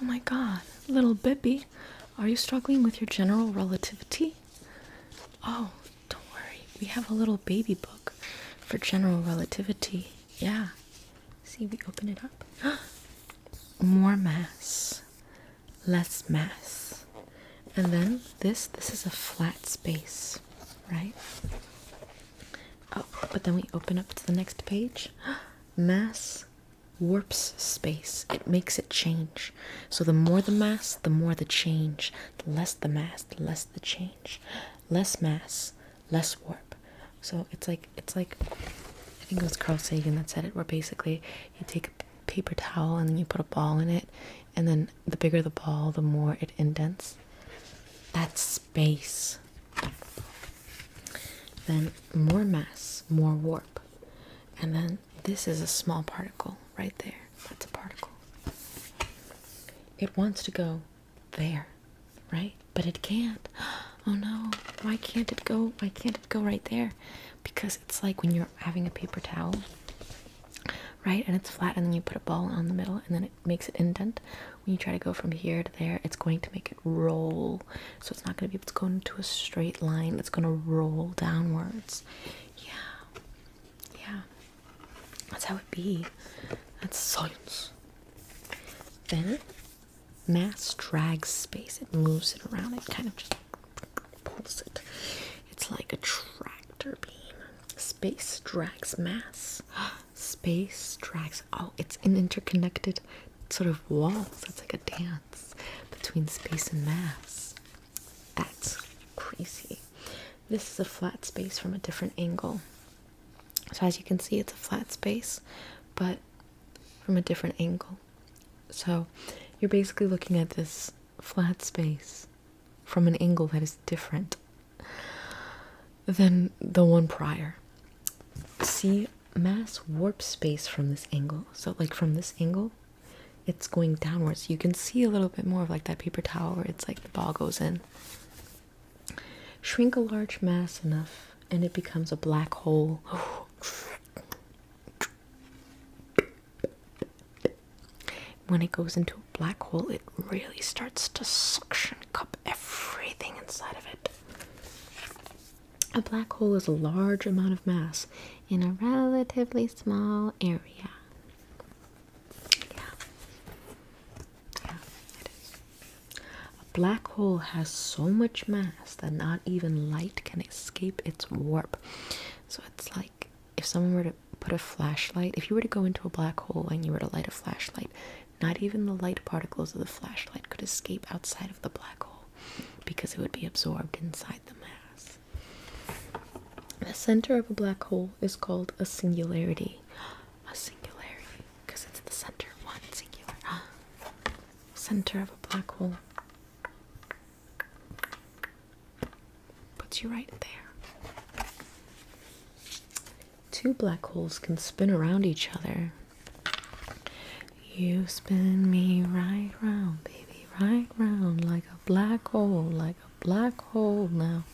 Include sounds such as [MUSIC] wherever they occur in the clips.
Oh my god, little Bippy, are you struggling with your general relativity? Oh, don't worry, we have a little baby book for general relativity. Yeah, see, we open it up. [GASPS] More mass, less mass. And then this, this is a flat space, right? Oh, but then we open up to the next page. [GASPS] Mass, warps space, it makes it change. So the more the mass, the more the change. The less the mass, the less the change. Less mass, less warp. So it's like it's like I think it was Carl Sagan that said it where basically you take a paper towel and then you put a ball in it and then the bigger the ball the more it indents. That's space. Then more mass, more warp. And then this is a small particle right there. That's a particle. It wants to go there, right? But it can't. [GASPS] Oh no, why can't it go? Why can't it go right there? Because it's like when you're having a paper towel, right? And it's flat, and then you put a ball on the middle, and then it makes an indent. When you try to go from here there, it's going to make it roll. So it's not going to be able to go into a straight line. It's going to roll downwards. Yeah. Yeah. That's how it be. That's science. Then mass drags space. It moves it around. It kind of just pulls it. It's like a tractor beam. Space drags mass. [GASPS] Space drags Oh, it's an interconnected sort of wall. So it's like a dance between space and mass. That's crazy. This is a flat space from a different angle. So as you can see, it's a flat space, but from a different angle. So you're basically looking at this flat space from an angle that is different than the one prior. See mass warp space from this angle. So like from this angle, it's going downwards. You can see a little bit more of like that paper towel it's like the ball goes in. Shrink a large mass enough and it becomes a black hole. when it goes into a black hole, it really starts to suction cup everything inside of it. A black hole is a large amount of mass in a relatively small area. Yeah. Yeah, it is. A black hole has so much mass that not even light can escape its warp. So it's like if someone were to put a flashlight, if you were to go into a black hole and you were to light a flashlight, not even the light particles of the flashlight could escape outside of the black hole because it would be absorbed inside the mass. The center of a black hole is called a singularity. A singularity, because it's the center, one singular. [GASPS] Center of a black hole puts you right there. Two black holes can spin around each other. You spin me right round, baby, right round, like a black hole, like a black hole now.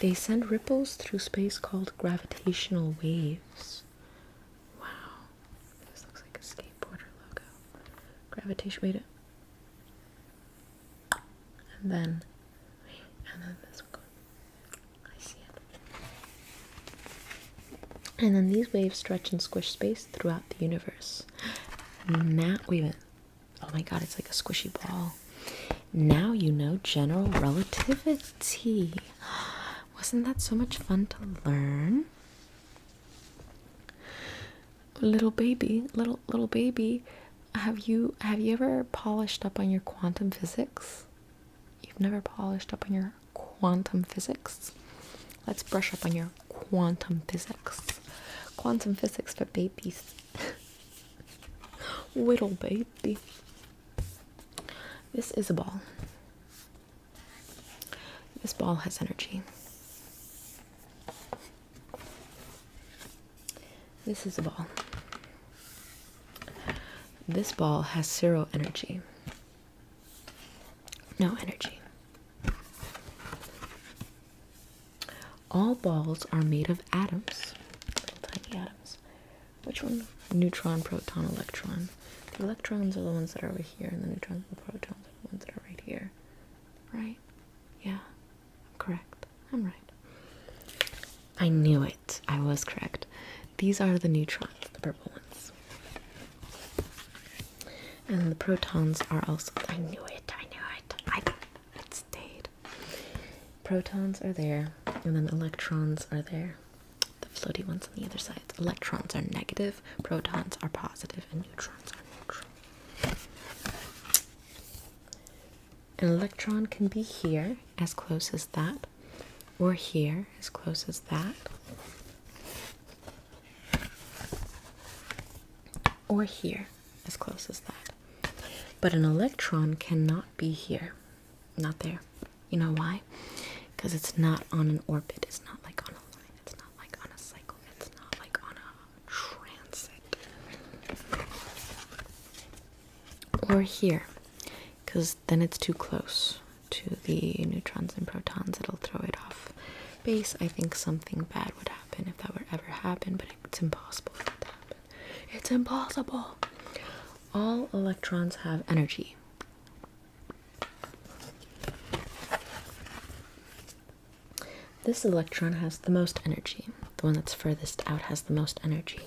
They send ripples through space called gravitational waves. Wow. This looks like a skateboarder logo. Gravitation, wait. And then, and then this one. I see it. And then these waves stretch and squish space throughout the universe. Now, wait a Oh my god, it's like a squishy ball. Now you know general relativity. [GASPS] Wasn't that so much fun to learn? Little baby, little little baby, have you have you ever polished up on your quantum physics? You've never polished up on your quantum physics? Let's brush up on your quantum physics. Quantum physics for babies. Whittle [LAUGHS] baby. This is a ball. This ball has energy. This is a ball. This ball has zero energy. No energy. All balls are made of atoms, tiny atoms. Which one? Neutron, proton, electron. The electrons are the ones that are over here, and the neutrons and the protons are the ones that are right here. Right? Yeah, I'm correct. I'm right. I knew it. I was correct. These are the neutrons, the purple ones. And the protons are also. I knew it. I knew it. I it stayed. Protons are there, and then electrons are there. The floaty ones on the other side. Electrons are negative, protons are positive, and neutrons are neutral. An electron can be here, as close as that, or here, as close as that, or here, as close as that. But an electron cannot be here, not there. You know why? Because it's not on an orbit, it's not like on a line, it's not like on a cycle, it's not like on a transit. Or here because then it's too close to the neutrons and protons. It'll throw it off base. I think something bad would happen if that were ever happen, but it's impossible for that to happen. It's impossible. All electrons have energy. This electron has the most energy. The one that's furthest out has the most energy.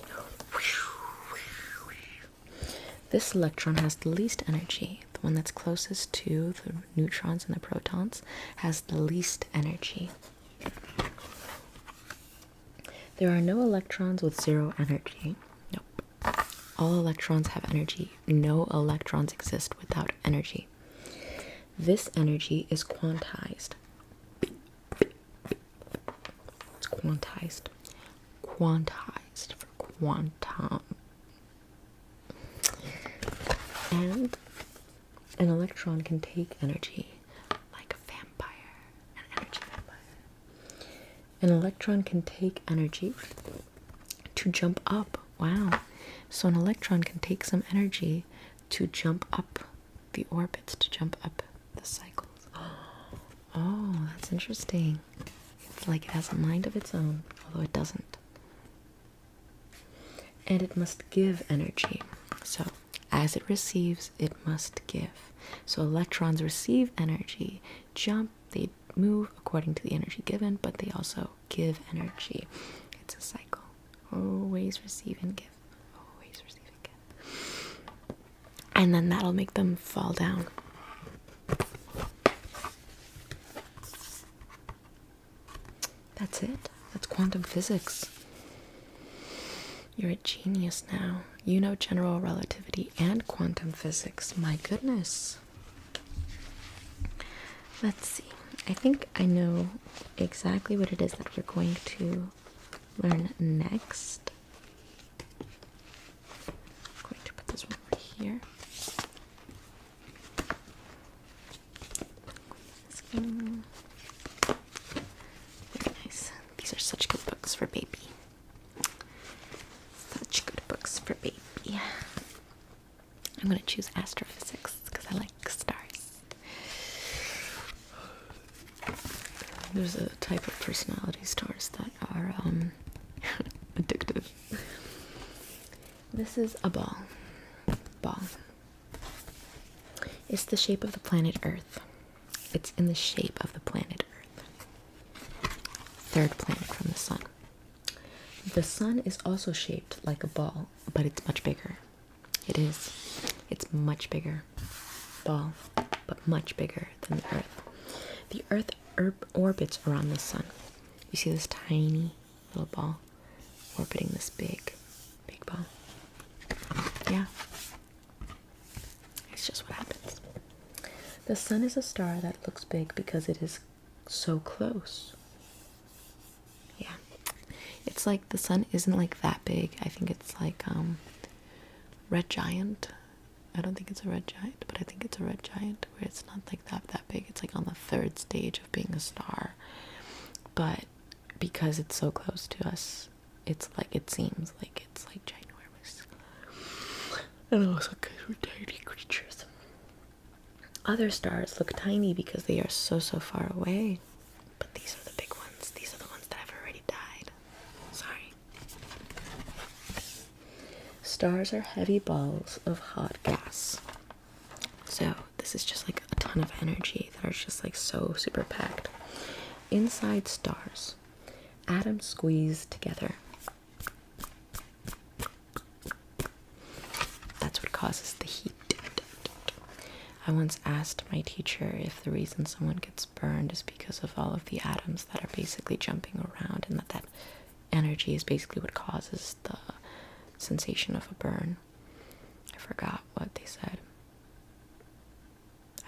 This electron has the least energy. The one that's closest to the neutrons and the protons has the least energy. There are no electrons with zero energy. Nope. All electrons have energy. No electrons exist without energy. This energy is quantized. It's quantized. Quantized for quantum. And an electron can take energy like a vampire. An energy vampire. An electron can take energy to jump up. Wow. So an electron can take some energy to jump up the orbits to jump up the cycles. [GASPS] Oh, that's interesting. It's like it has a mind of its own, although it doesn't. And it must give energy. So, as it receives, it must give. So, electrons receive energy, jump, they move according to the energy given, but they also give energy. It's a cycle. Always receive and give. And then that'll make them fall down. That's it. That's quantum physics. You're a genius now. You know general relativity and quantum physics. My goodness. Let's see. I think I know exactly what it is that we're going to learn next. going to put this one right here. Very nice. These are such good books for baby. Such good books for baby. I'm gonna choose astrophysics because I like stars. There's a type of personality stars that are um, [LAUGHS] addictive. This is a ball. Ball. It's the shape of the planet Earth. It's in the shape of the planet Earth. Third planet from the sun. The sun is also shaped like a ball, but it's much bigger. It is. It's much bigger ball, but much bigger than the Earth. The Earth orbits around the Sun. You see this tiny little ball orbiting this big, big ball. Yeah. It's just what happens. The Sun is a star that looks big because it is so close. Yeah. It's like the sun isn't like that big. I think it's like um, red giant. I don't think it's a red giant, but I think it's a red giant where it's not like that that big. It's like on the third stage of being a star. But because it's so close to us, it's like it seems like it's like ginormous. And also because we're tiny creatures. Other stars look tiny because they are so so far away. But these are the big ones. These are the ones that have already died. Sorry. Stars are heavy balls of hot gas. So, this is just like a ton of energy that are just like so super packed. Inside stars, atoms squeeze together. That's what causes the heat. I once asked my teacher if the reason someone gets burned is because of all of the atoms that are basically jumping around, and that that energy is basically what causes the sensation of a burn. I forgot what they said.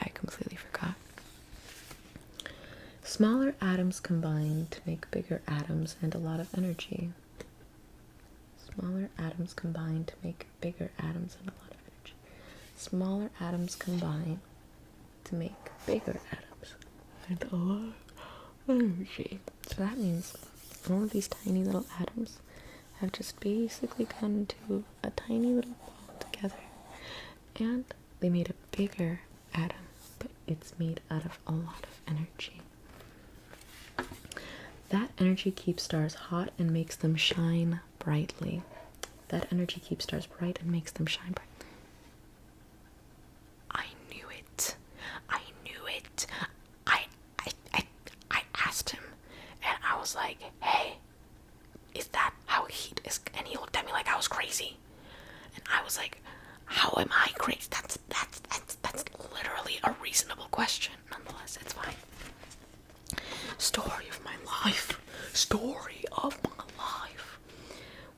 I completely forgot. Smaller atoms combine to make bigger atoms and a lot of energy. Smaller atoms combine to make bigger atoms and a lot of energy. Smaller atoms combine to make bigger atoms and a lot of energy. So that means all of these tiny little atoms have just basically come to a tiny little ball together and they made a bigger atom, but it's made out of a lot of energy. That energy keeps stars hot and makes them shine brightly. That energy keeps stars bright and makes them shine bright. I knew it. I knew it. I I I, I asked him and I was like, "Hey, is that how heat is?" And he looked at me like I was crazy. And I was like, "How am I crazy? That's that's that's that's literally a reasonable question. Nonetheless, it's fine." Story of my life. Story of my life.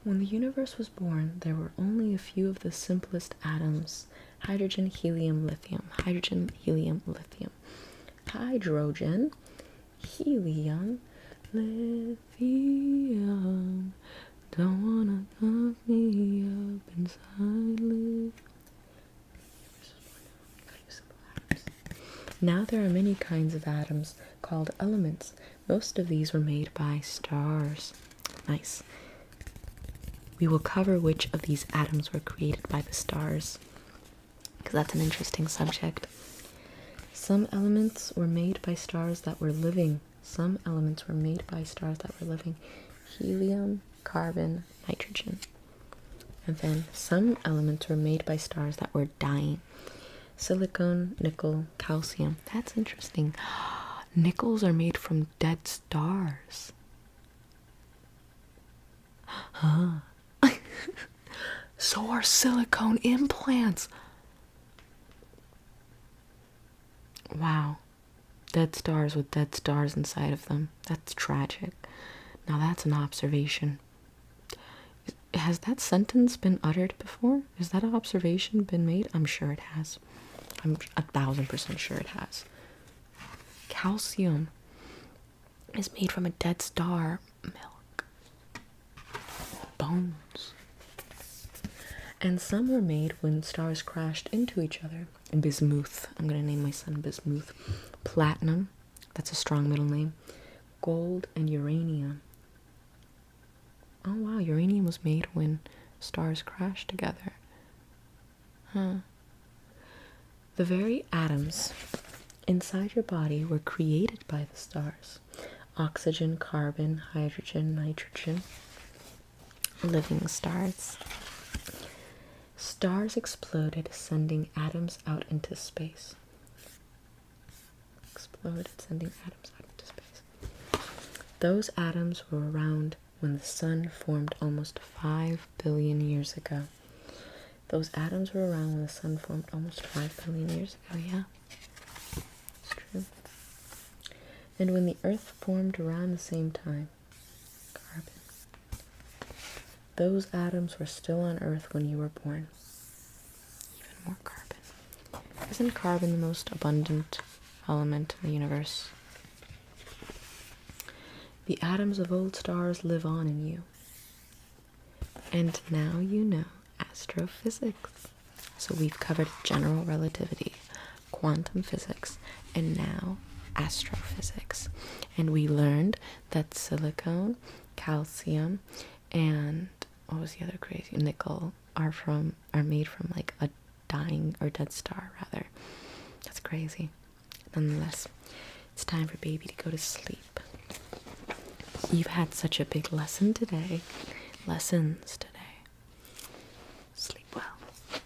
When the universe was born, there were only a few of the simplest atoms hydrogen, helium, lithium, hydrogen, helium, lithium, hydrogen, helium, lithium. Don't wanna cut me up inside. Now there are many kinds of atoms called elements. Most of these were made by stars. Nice. We will cover which of these atoms were created by the stars because that's an interesting subject. Some elements were made by stars that were living. Some elements were made by stars that were living. Helium, carbon, nitrogen. And then some elements were made by stars that were dying silicon, nickel, calcium. That's interesting. [GASPS] Nickels are made from dead stars. Huh. [LAUGHS] so are silicone implants. Wow. Dead stars with dead stars inside of them. That's tragic. Now that's an observation. Has that sentence been uttered before? Has that observation been made? I'm sure it has. I'm a thousand percent sure it has. Calcium is made from a dead star milk. Bones. And some were made when stars crashed into each other. Bismuth. I'm gonna name my son Bismuth. Platinum. That's a strong middle name. Gold and uranium. Oh wow, uranium was made when stars crashed together. Huh. The very atoms inside your body were created by the stars oxygen, carbon, hydrogen, nitrogen living stars. Stars exploded, sending atoms out into space. Exploded, sending atoms out into space. Those atoms were around when the sun formed almost 5 billion years ago. Those atoms were around when the sun formed almost 5 billion years ago, yeah. It's true. And when the earth formed around the same time, Carbon. Those atoms were still on Earth when you were born. Even more carbon. Isn't carbon the most abundant element in the universe? The atoms of old stars live on in you. And now you know astrophysics. So we've covered general relativity, quantum physics, and now astrophysics. And we learned that silicon, calcium, and what was the other crazy nickel are from are made from like a dying or dead star rather. That's crazy. Nonetheless, it's time for baby to go to sleep. You've had such a big lesson today. Lessons today. Sleep well.